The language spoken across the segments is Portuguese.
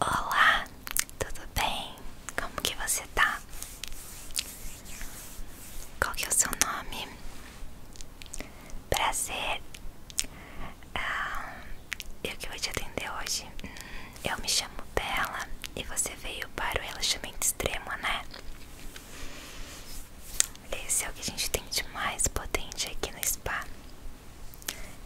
Olá, tudo bem? Como que você tá? Qual que é o seu nome? Prazer ah, Eu que vou te atender hoje hum, Eu me chamo Bela E você veio para o relaxamento extremo, né? Esse é o que a gente tem de mais potente aqui no spa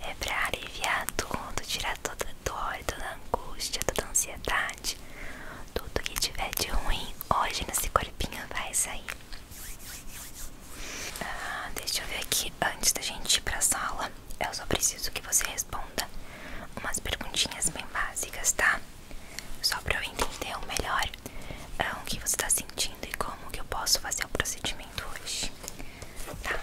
é pra aliviar tudo, tirar toda a dor, toda a angústia, toda a ansiedade. Tudo que tiver de ruim hoje nesse corpinho vai sair. Ah, deixa eu ver aqui. Antes da gente ir pra sala, eu só preciso que você responda umas perguntinhas bem básicas, tá? Só pra eu entender melhor ah, o que você tá sentindo e como que eu posso fazer o procedimento hoje. Tá?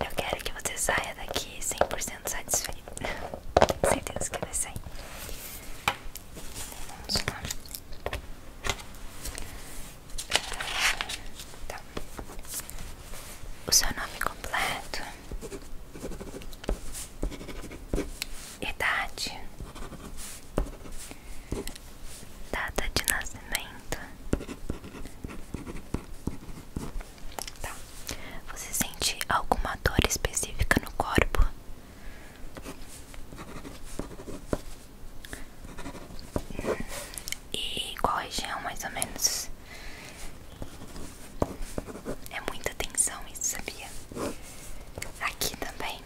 Eu quero que você saia daqui 100% satisfeito. Tenho certeza que vai sair. Vamos lá. Tá. O seu nome completo, idade, Data de nascimento. Tá. Você sente alguma dor específica no corpo? E qual região mais ou menos? É muita tensão isso, sabia? Aqui também.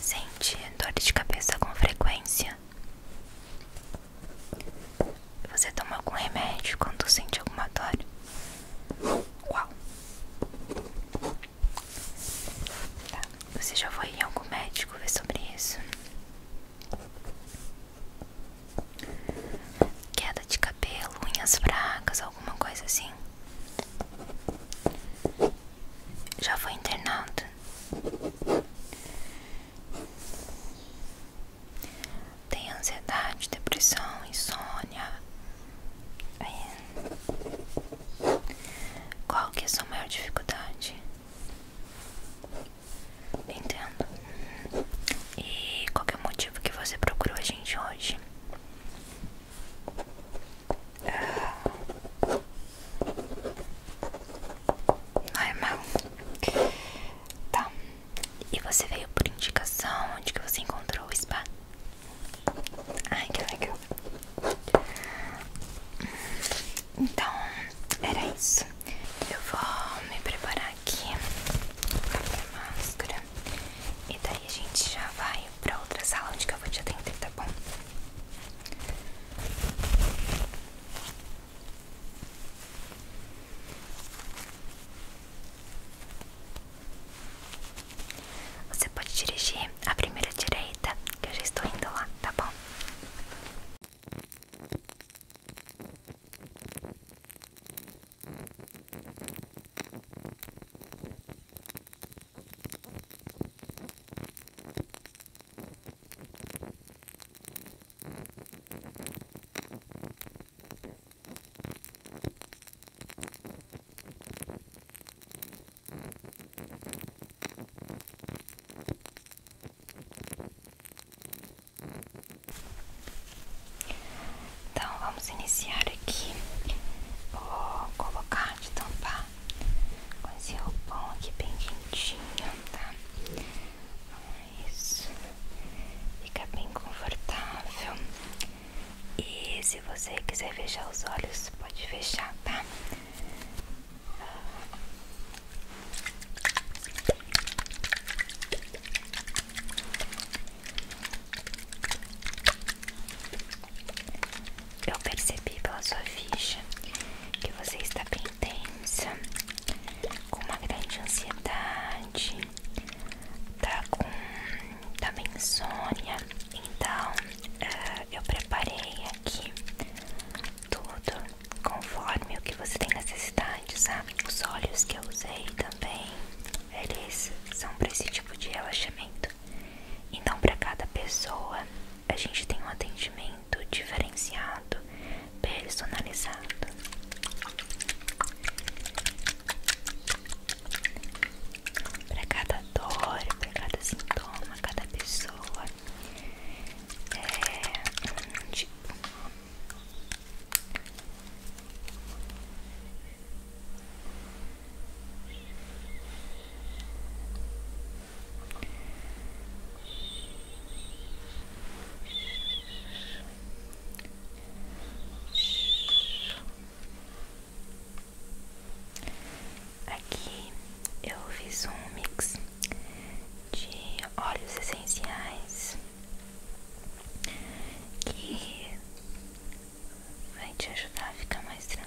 Sente dor de cabeça com frequência? Você toma algum remédio quando sente alguma dor? Qual? Tá. Você já foi em algum médico ver sobre isso? Queda de cabelo, unhas fracas, alguma coisa assim? já foi internado. Tem ansiedade, depressão, insônia. Qual que é a sua maior dificuldade? Entendo. E qual é o motivo que você procurou a gente hoje? Ah. ai Normal. Tá. E você veio por indicação? Onde que você encontrou o spa? Ai, que legal. Então, era isso. Eu vou me preparar aqui pra máscara. E daí a gente já vai pra outra sala onde que eu vou te atender, tá bom? Você pode dirigir a primeira direita, que eu já estou indo lá, tá bom? Então vamos iniciar aqui. Vou colocar de tampar com esse roupão aqui bem quentinho, tá? Isso fica bem confortável. E se você quiser fechar os olhos, pode fechar, tá? Eu percebi pela sua ficha que você está bem tensa, com uma grande ansiedade, tá com também tá insônia. Então eh, eu preparei aqui tudo conforme o que você tem necessidade, sabe? Os olhos que eu usei também, eles são para esse tipo de relaxamento. Então, para cada pessoa, a gente tem um atendimento diferenciado, personalizado. Para cada dor, para cada sintoma, cada pessoa é tipo. Aqui eu fiz um mix de óleos essenciais que vai te ajudar a ficar mais tranquilo.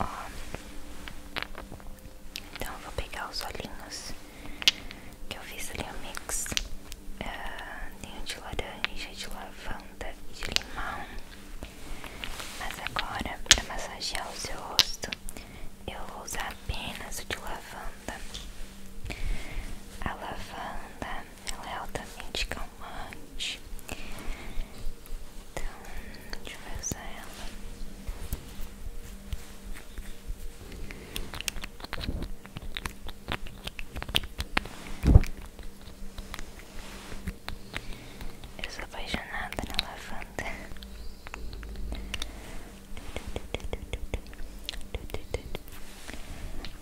Um, então eu vou pegar os olhinhos que eu fiz ali um mix eh, de laranja, de lavanda e de limão mas agora para massagear o seu rosto eu vou usar apenas o de lavanda a lavanda ela é altamente calmante então deixa eu usar ela eu sou apaixonada na lavanda.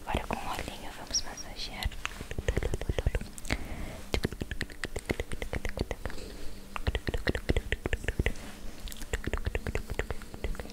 Agora com o olhinho vamos massagear.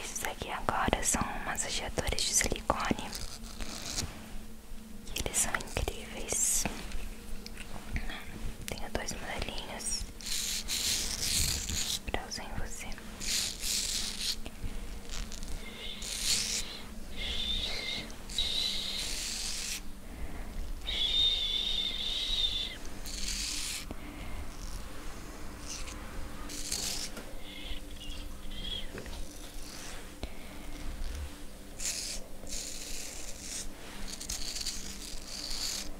Esses aqui agora são massageadores de silicone eles são incríveis. Tenho dois modelinhos pra usar em você.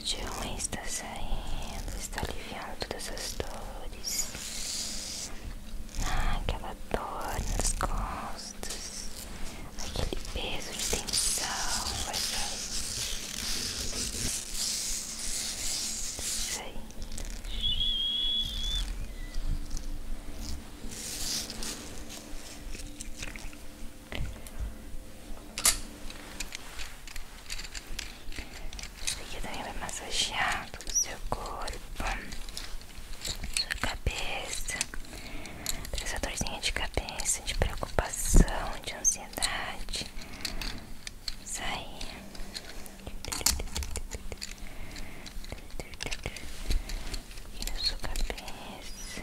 Tudo de está saindo, está aliviando todas as dores dores. Ah, aquela dor nas costas. Aquele peso de tensão. Vai sair. E também tá vai massagear todo o seu corpo, sua cabeça, essa dorzinha de cabeça, de preocupação, de ansiedade. Sai. Tira sua cabeça.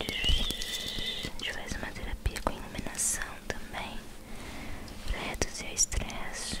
A gente faz uma terapia com iluminação também para reduzir o estresse.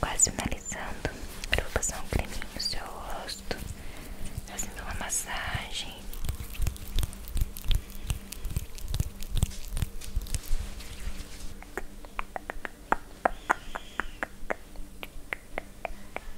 Quase finalizando, eu vou passar um creminho no seu rosto, fazendo uma massagem.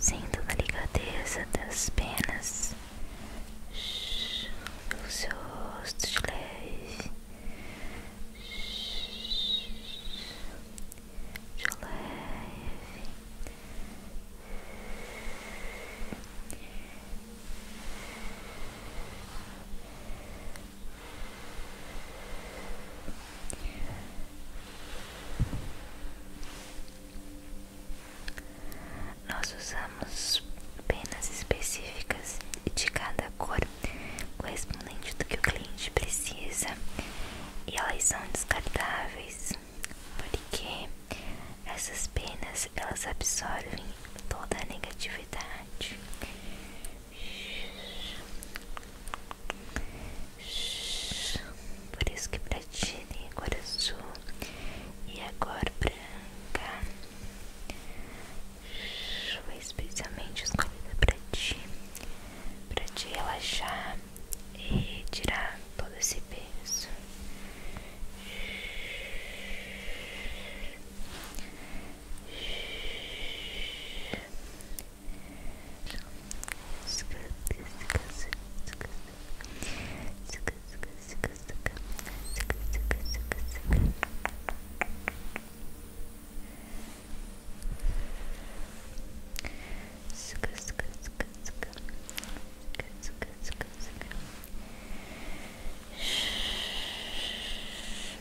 Sinto a ligadeza das penas, o seu rosto de leve de leve. Nós usamos penas específicas de cada cor correspondente do que o cliente precisa e elas são descartáveis porque essas penas elas absorvem toda a negatividade. Por isso que pra ti tem cor azul e a cor branca. Foi especialmente escolhida pra ti, pra te relaxar e tirar todo esse peso.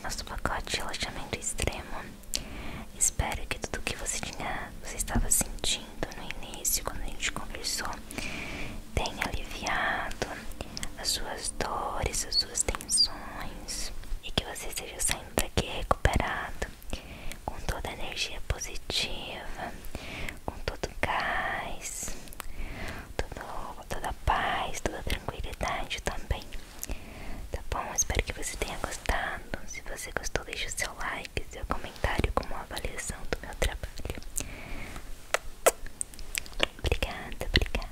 Nosso pacote de relaxamento extremo. Espero que tudo que você tinha, você estava sentindo no início quando a gente conversou, tenha aliviado as suas dores, as suas tensões e que você seja. saindo saindo aqui recuperado, com toda a energia positiva, com todo o gás, todo, toda a paz, toda a tranquilidade também. Tá bom? Espero que você tenha gostado. Se você gostou, deixe o seu like, seu comentário como uma avaliação do meu trabalho. Obrigada, obrigada.